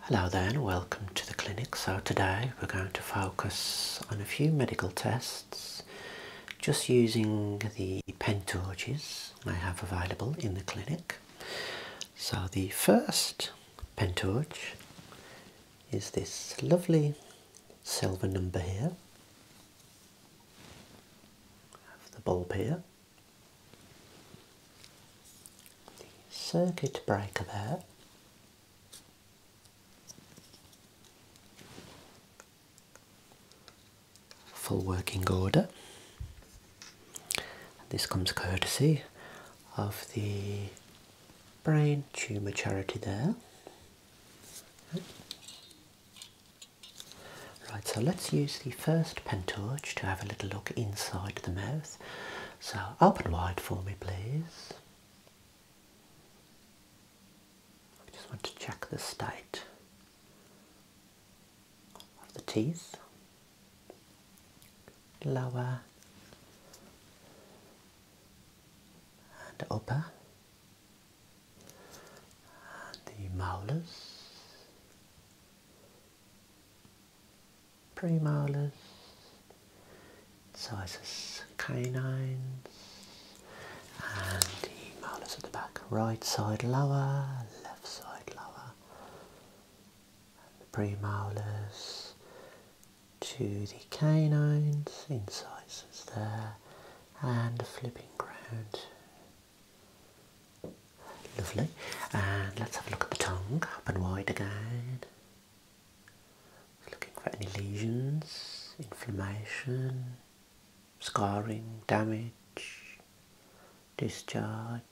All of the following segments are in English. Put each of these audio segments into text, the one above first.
Hello there and welcome to the clinic. So today we're going to focus on a few medical tests just using the pen torches I have available in the clinic. So the first pen torch is this lovely silver number here. Have the bulb here. The circuit breaker there. Full working order. This comes courtesy of the Brain Tumour Charity there. Right, so let's use the first pen torch to have a little look inside the mouth. So open wide for me, please. I just want to check the state of the teeth. Lower and upper and the molars premolars, incisors, canines, and the molars at the back. Right side lower, left side lower, the premolars to the canines, incisors there, and a flipping ground Lovely. And let's have a look at the tongue, up and wide again. Looking for any lesions, inflammation, scarring, damage, discharge.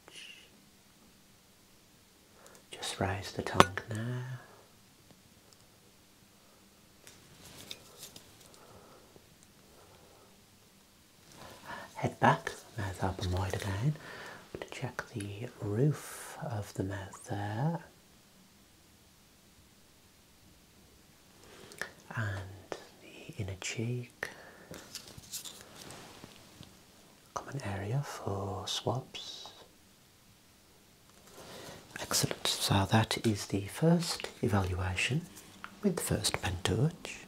Just raise the tongue now head back, mouth open wide again. going to check the roof of the mouth there. And the inner cheek. Common area for swabs. Excellent. So that is the first evaluation with the first pen touch.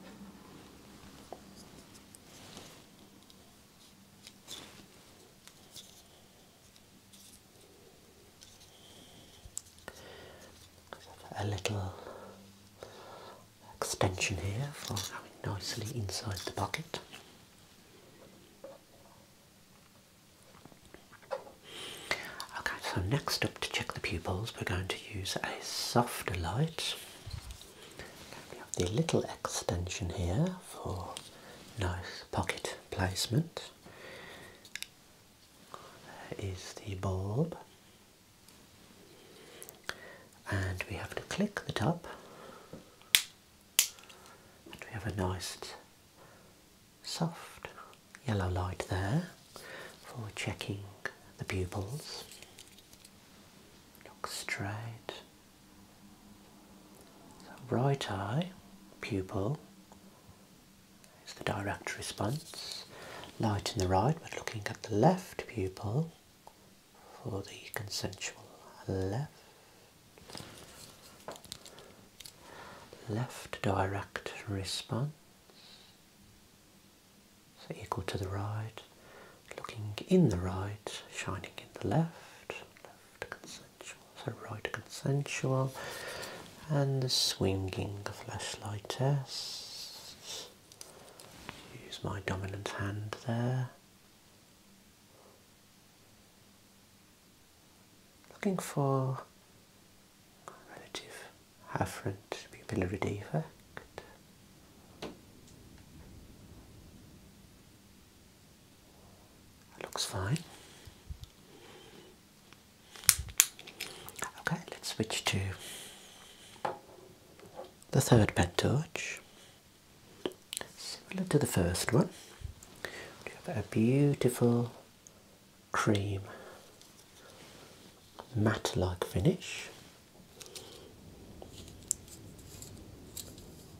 A little extension here for going nicely inside the bucket. Okay, so next up to check the pupils, we're going to use a softer light. We have the little extension here for nice pocket placement. Is the bulb. And we have to click the top, and we have a nice soft yellow light there for checking the pupils. Look straight. right eye, pupil is the direct response. Light in the right, but looking at the left pupil for the consensual left. Left direct response. So equal to the right, looking in the right, shining in the left, left consensual, so right consensual, and the swinging flashlight test. Use my dominant hand there. Looking for relative afferent pupillary defect. looks fine. Okay, let's switch to the third pen torch. Similar to the first one, we have a beautiful cream matte like finish.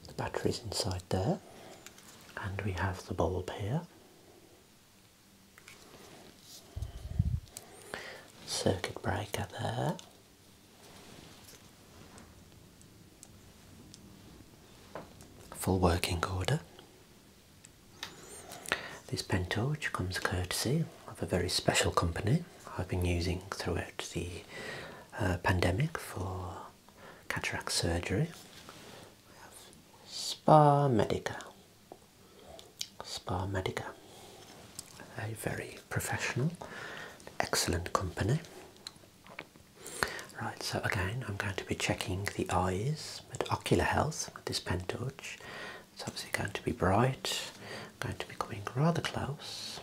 The battery's inside there, and we have the bulb here. Circuit breaker there. Full working order. This pen torch comes courtesy of a very special company I've been using throughout the uh, pandemic for cataract surgery. have Spa Medica. Spa Medica, a very professional, excellent company. Right, so again, I'm going to be checking the eyes with ocular health with this pen torch. It's obviously going to be bright. going to be coming rather close.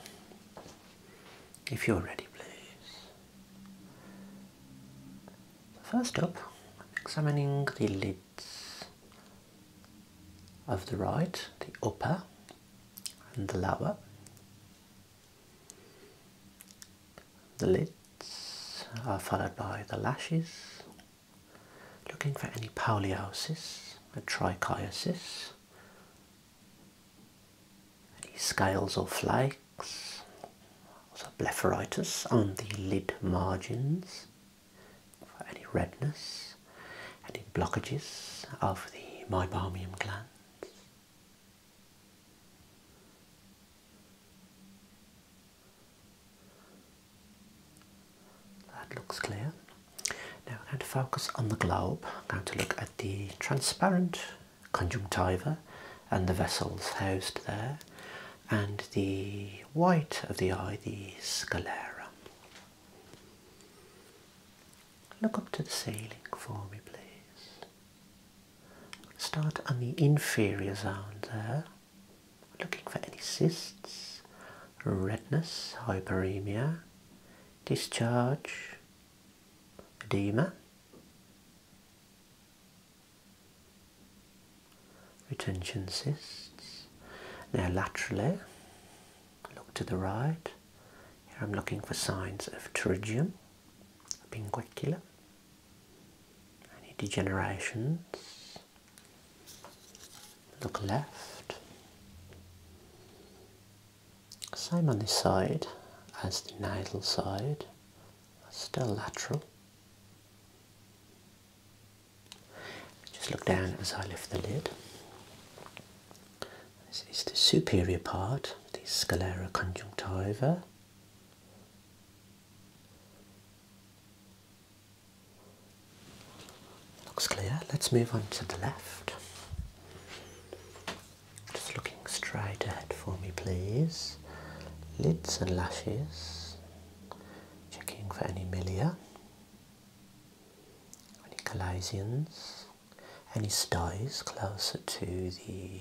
If you're ready, please. First up, examining the lids of the right, the upper and the lower. The lids are followed by the lashes Looking for any paliosis, a trichiasis, any scales or flakes, also blepharitis on the lid margins, for any redness, any blockages of the meibomium glands. That looks clear. Now I'm going to focus on the globe. I'm going to look at the transparent conjunctiva and the vessels housed there and the white of the eye, the sclera. Look up to the ceiling for me please. Start on the inferior zone there. Looking for any cysts, redness, hyperemia, discharge, edema. Retention cysts. Now laterally, look to the right. Here I'm looking for signs of pterygium, pinguicula, any degenerations? Look left. Same on this side as the nasal side, still lateral. Just look down as I lift the lid. This is the superior part, the sclera conjunctiva. Looks clear. Let's move on to the left. Just looking straight ahead for me, please. Lids and lashes. Checking for any milia, any collasians, any styes closer to the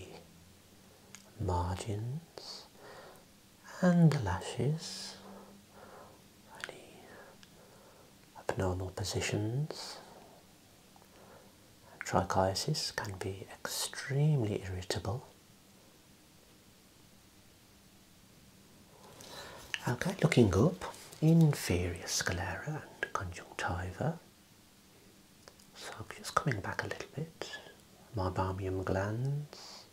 margins and the lashes, any abnormal positions. Trichiasis can be extremely irritable. Okay, looking up, inferior sclera and conjunctiva. So I'm just coming back a little bit. My barmium glands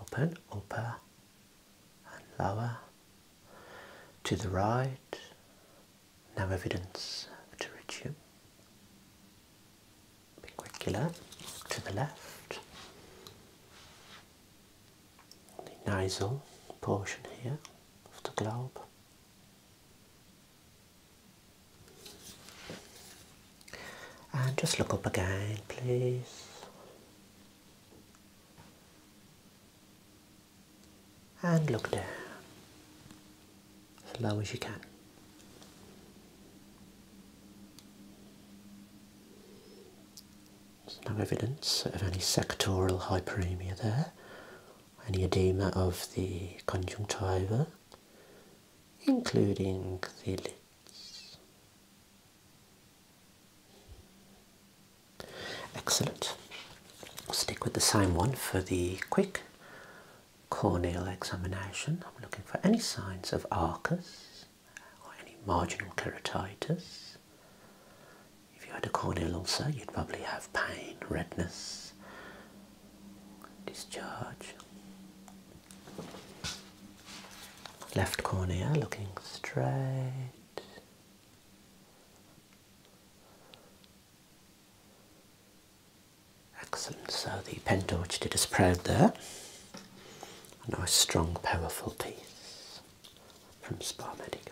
open, upper and lower, to the right, no evidence to pterygium. Pinguicula to the left, the nasal portion here of the globe. And uh, just look up again, please. And look down as low as you can. There's no evidence of any sectoral hyperemia there any edema of the conjunctiva, including the lids. Excellent. We'll stick with the same one for the quick corneal examination. I'm looking for any signs of arcus or any marginal keratitis. If you had a corneal ulcer, you'd probably have pain, redness, discharge. Left cornea looking straight. Excellent, so the pen did us proud there. A nice, strong, powerful piece from Spa Medica.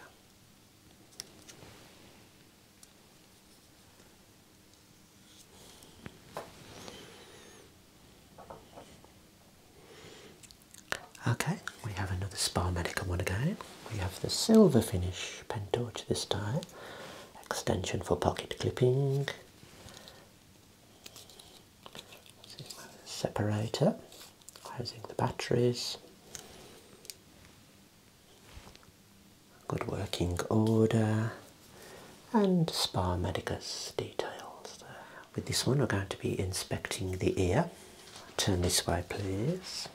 Okay, we have another Spa Medica one again. We have the silver finish pen torch this time, extension for pocket clipping, separator, housing the batteries, good working order and spa medicus details With this one we're going to be inspecting the ear. Turn this way please.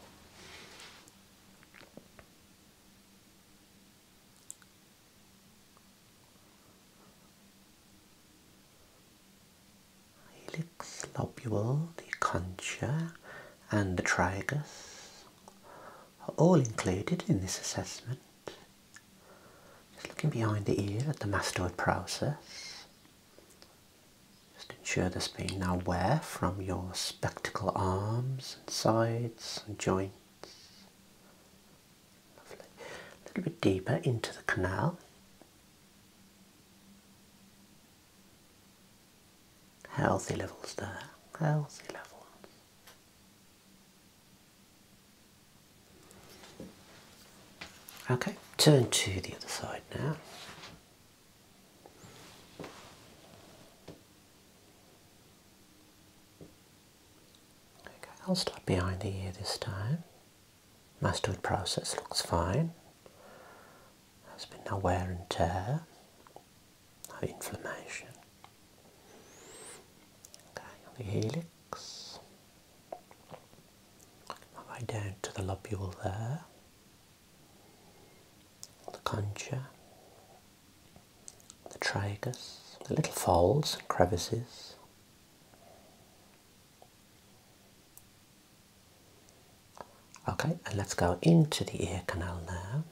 Helix lobule, the concha, and the trigus are all included in this assessment. Just looking behind the ear at the mastoid process. Just ensure there's been no wear from your spectacle arms and sides and joints. Lovely. A little bit deeper into the canal. Healthy levels there, healthy levels. Okay, turn to the other side now. Okay, I'll start behind the ear this time. Mastoid process looks fine. There's been no wear and tear, no inflammation. Okay, on the helix, all the way down to the lobule there, the concha, the tragus, the little folds and crevices. Okay, and let's go into the ear canal now.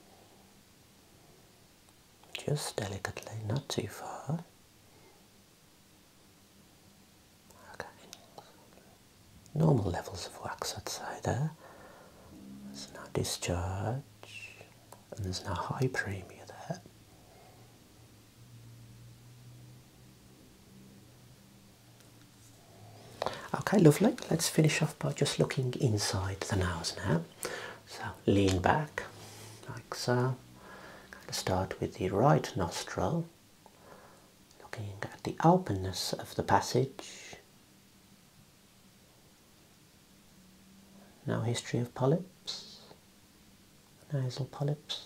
Just delicately, not too far. Okay, normal levels of wax, outside there. There's no discharge, and there's no high premium there. Okay, lovely. Let's finish off by just looking inside the nose now. So lean back like so. start with the right nostril, looking at the openness of the passage. Now, history of polyps, nasal polyps.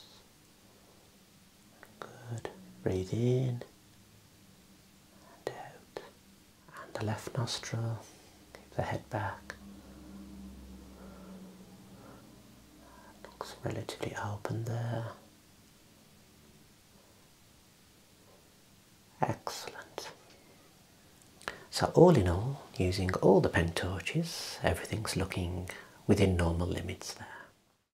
Good. Breathe in and out. And the left nostril. Keep the head back. looks relatively open there. Excellent. So all in all, using all the pen everything's looking within normal limits there.